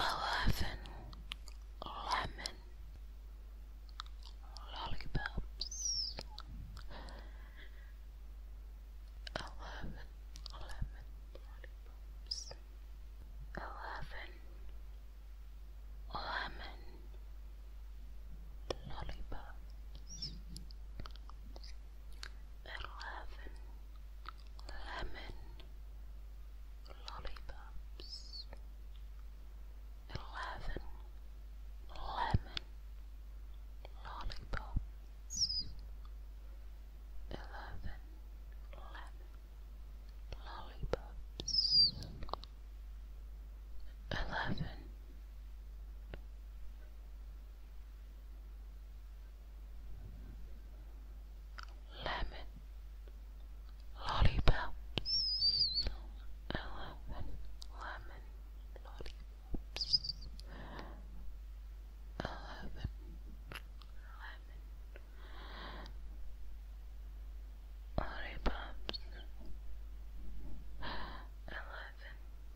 Eleven lemon lollipops. Eleven lemon lollipops. Eleven lemon lollipops eleven lemon lollipops, eleven lemon lollipops, eleven lemon lollipops, eleven lemon, lollipops, eleven, lemon, lollipops, eleven, lemon, lollipops, eleven,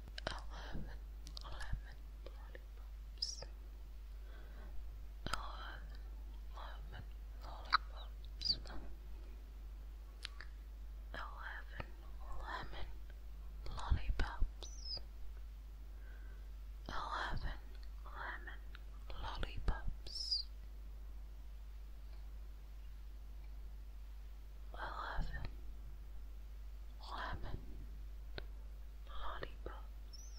eleven lemon lollipops, eleven lemon lollipops, eleven lemon lollipops, eleven lemon lollipops. 11 lemon lollipops 11 lemon lollipops 11 lemon lollipops eleven lemon lollipops,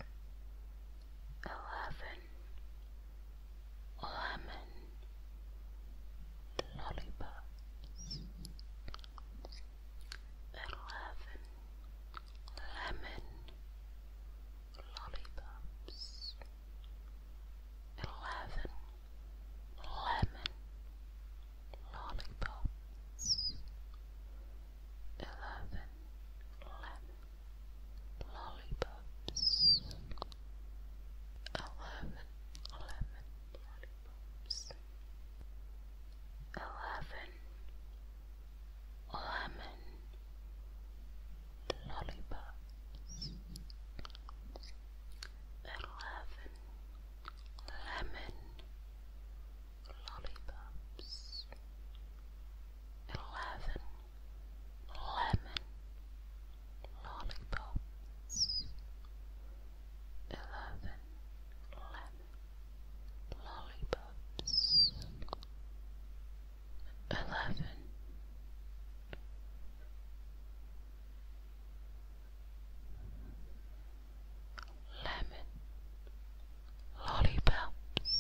eleven lemon lollipops, eleven lemon lollipops, eleven lemon lollipops, eleven, eleven, lollipops, eleven, eleven, lollipops, eleven, lemon, lollipops, eleven, lemon lollipops, eleven lemon lollipops, eleven lemon lollipops, eleven lemon lollipops,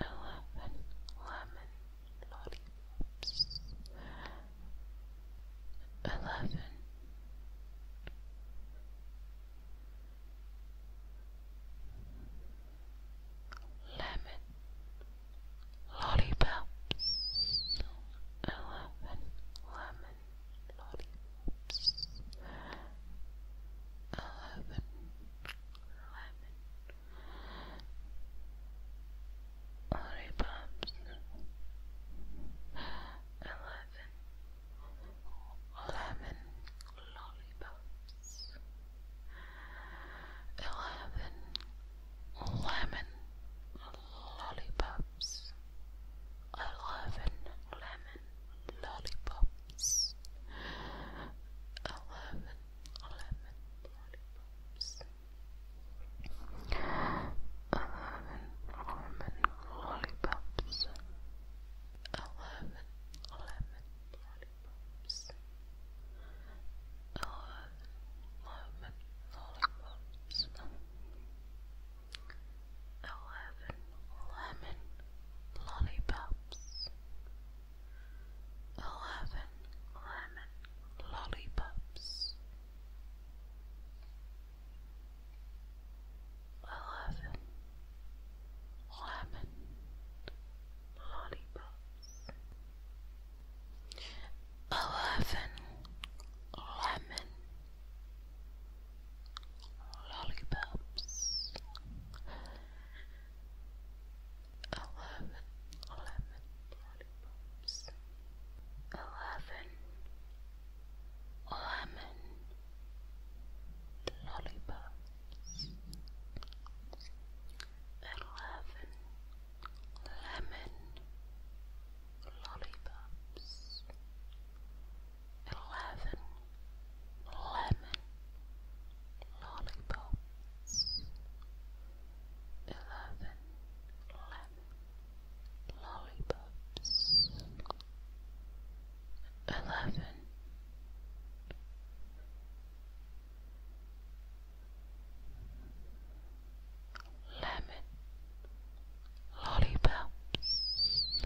eleven lemon lollipops, eleven. Lemon lollipops, eleven lollipops, eleven, lemon, lollipops, eleven, lemon, lollipops, eleven, lemon, lollipops. Eleven lemon lollipops. Eleven lemon lollipops. Eleven lemon lollipops. Eleven lemon lollipops. Eleven lemon lollipops. Eleven lemon lollipops eleven lemon lollipops, eleven lemon lollipops, eleven lemon lollipops, eleven lemon lollipops, eleven, eleven lollipops, eleven, eleven lollipops, eleven lemon lollipops. Eleven lemon lollipops. Eleven lemon lollipops. Eleven. Lemon Lollipop, eleven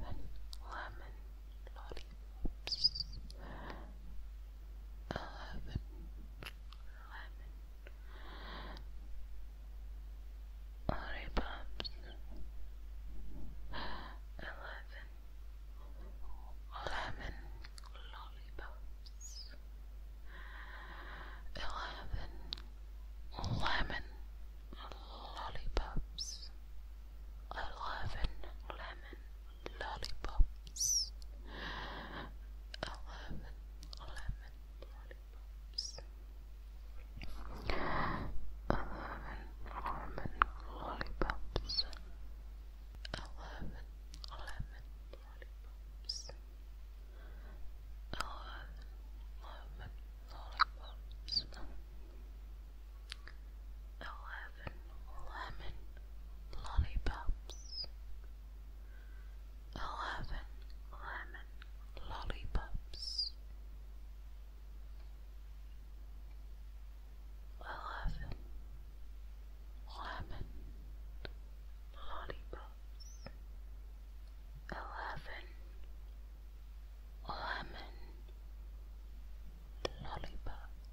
lemon lollipops, eleven lemon lollipops, eleven lemon lollipops. Eleven lemon lollipops. Eleven lemon lollipops. Eleven lemon lollipops. Eleven lemon lollipops. Eleven lemon lollipops eleven lollipops, eleven lemon lollipops, eleven lemon lollipops, eleven lemon lollipops eleven, lemon, lollipops,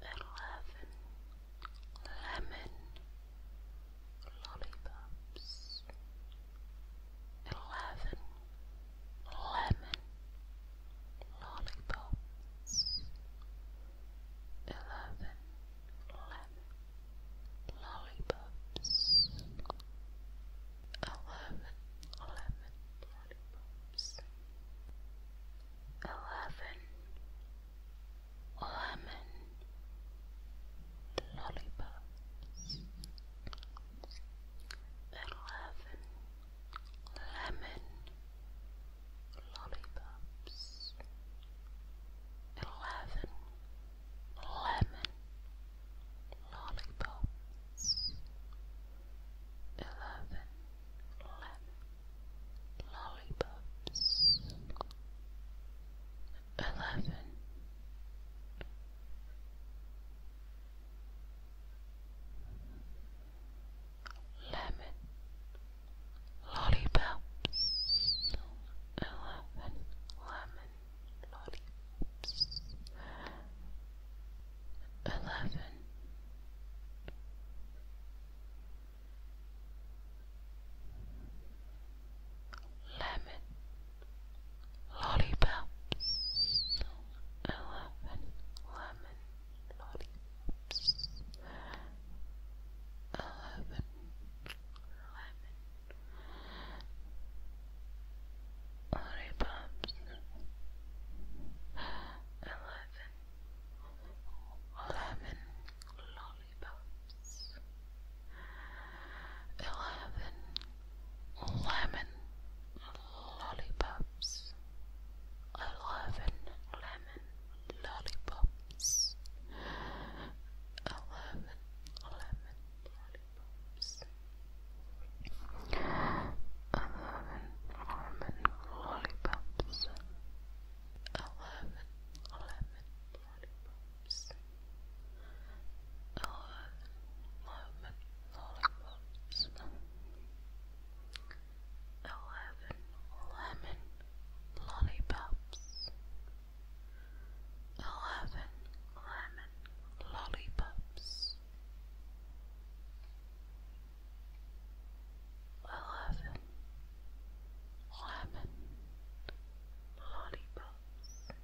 eleven, lemon, lollipops, eleven, lemon, lollipops eleven, lemon, lollipops, eleven, 11 lemon lollipops 11 lemon lollipops 11 lemon lollipops eleven lemon lollipops, eleven lemon lollipops, eleven. Lemon Lollipop. eleven lemon lollipops, eleven. Lemon lollipops, eleven eleven lollipops, lollipops, eleven lemon lollipops, eleven lemon lollipops. Eleven, eleven lollipops. Eleven almond lollipops. Eleven, eleven lollipops. lollipops. Eleven lemon lollipops eleven lemon lollipops, eleven lemon lollipops.